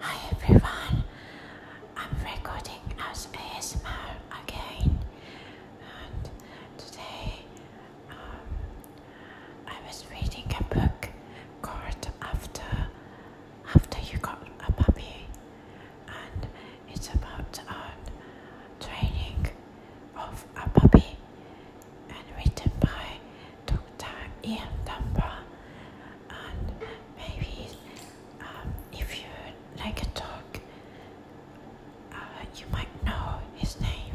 Hi everyone, I'm recording as ASMR again, and today um, I was reading a book called After After You Got a Puppy, and it's about um, training of a puppy and written by Dr. Ian Dunbar. And maybe um, if you like a talk, uh, you might know his name.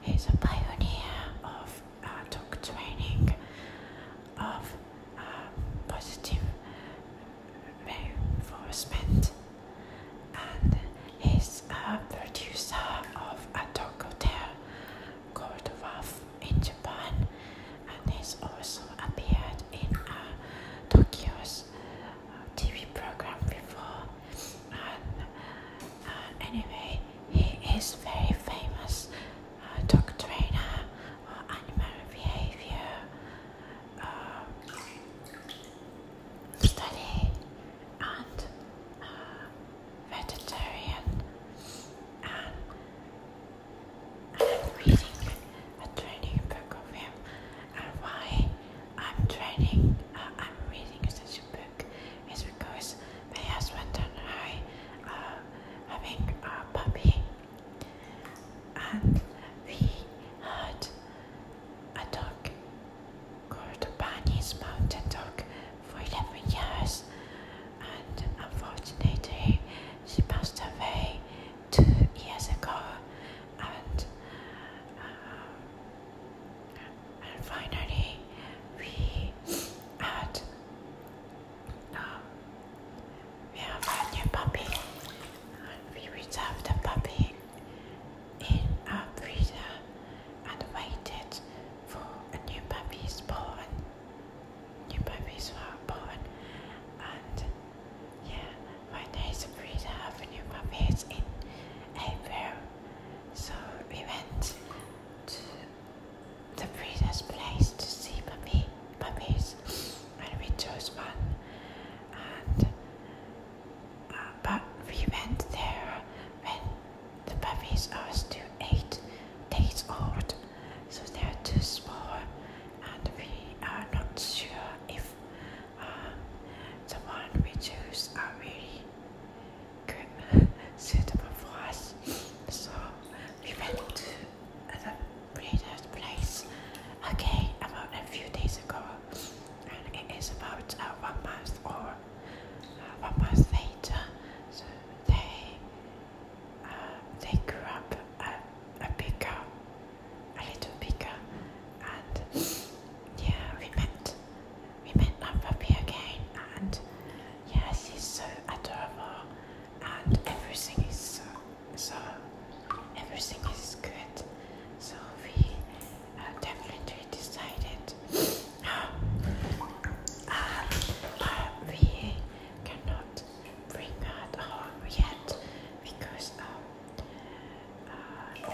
He's a pioneer of uh, dog training, of um, positive reinforcement, and he's a producer of a dog hotel called in Japan and he's also appeared in uh, Tokyo's uh, TV program before. And uh, anyway, he is very famous uh, dog trainer or animal behavior study and uh, vegetarian, and I'm reading a training book of him, and why I'm training, uh, I'm reading such a book is because my husband and I are having a puppy, and we heard a dog called Bunny's Mountain Dog for 11 years, and unfortunately, she passed away two years ago. And, uh, finally, we had um, we have a new puppy. And we reserved the puppy in a breeder and waited for a new puppy's born. New puppies were born, and yeah, when there is a breeder of new puppies in April, so we went to the breeder's place to see puppy puppies, and we chose one, and but we went there when the puppies are still eight days old, so they are too small, and we are not sure if um, the one we choose are really good, suitable for us. So we went to the breeder's place again about a few days ago and it is about uh, one month or uh, one month later. So they uh, they grew up a, bigger, a little bigger, and yeah, we met we met our puppy again, and yeah, he's so adorable, and everything is so so everything is good. So we uh, definitely decided uh, uh, we cannot bring her home yet because um, uh,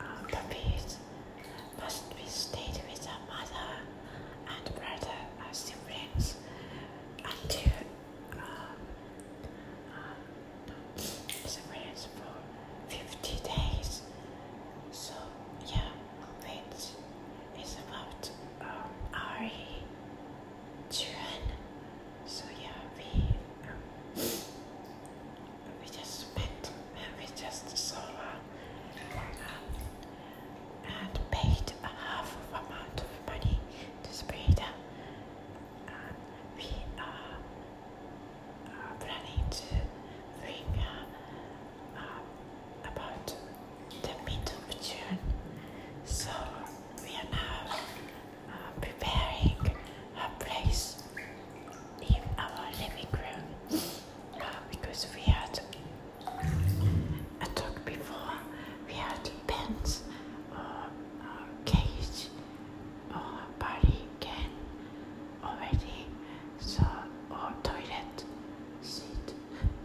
uh, puppies must be stayed with their mother and brother or uh, siblings until. Um, uh, it's a rains for 50 days. So, yeah, which is about um, our children. So, yeah, we. Um, we just spent, uh, we just saw um, and paid a half of amount of money to Spreda we are uh, planning to bring uh, uh, about the mid of So we are now preparing a place in our living room because we had a talk before. We had depends our uh, uh, cage or uh, body can already. So, or toilet seat,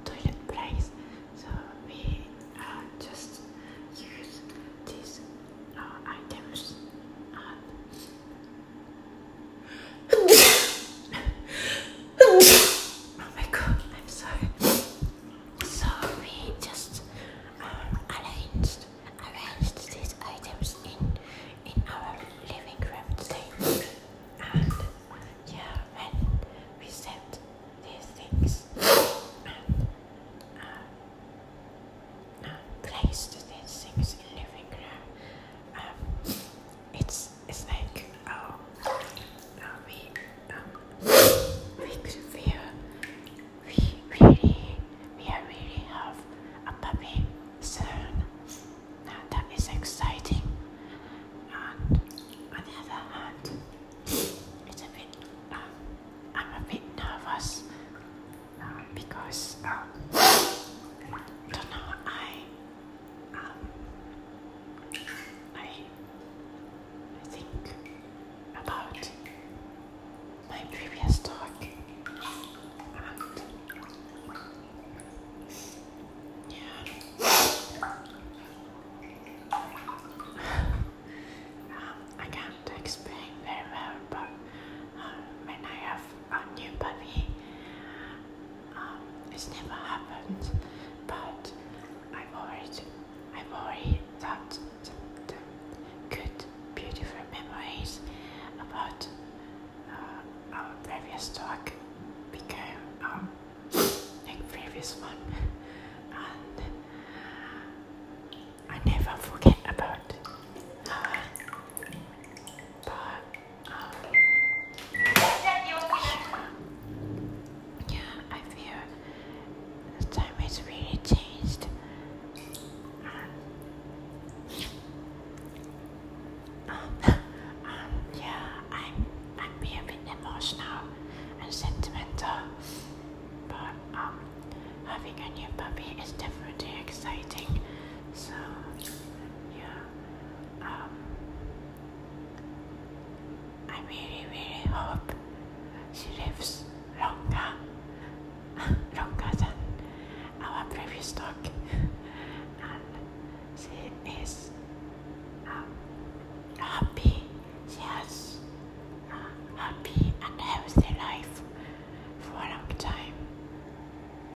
toilet place. So, we just use these items oh my god, I'm sorry. So we just um, arranged arranged these items in in our living room today, and yeah, when we set these things and uh, uh, placed these things in living room, um, it's it's like Oh, we, um, we could feel. We really, we really have a puppy soon. Now that is exciting. And on the other hand, it's a bit. Um, I'm a bit nervous uh, because I don't know. I um, I, think about my previous talk and yeah. Um, I can't explain very well, but uh, when I have a new puppy, um, it's never happened, but I've always, I've already thought the, good, beautiful memories about uh, our previous talk became our um, previous one, and I never forget about. Uh, but I I'm, feel time has really changed. Um, um, emotional and sentimental. Um, having a new puppy is definitely exciting. So, yeah. Um, I really, really hope she lives longer, longer than our previous talk, and she is um, happy. She has a happy and healthy life for a long time.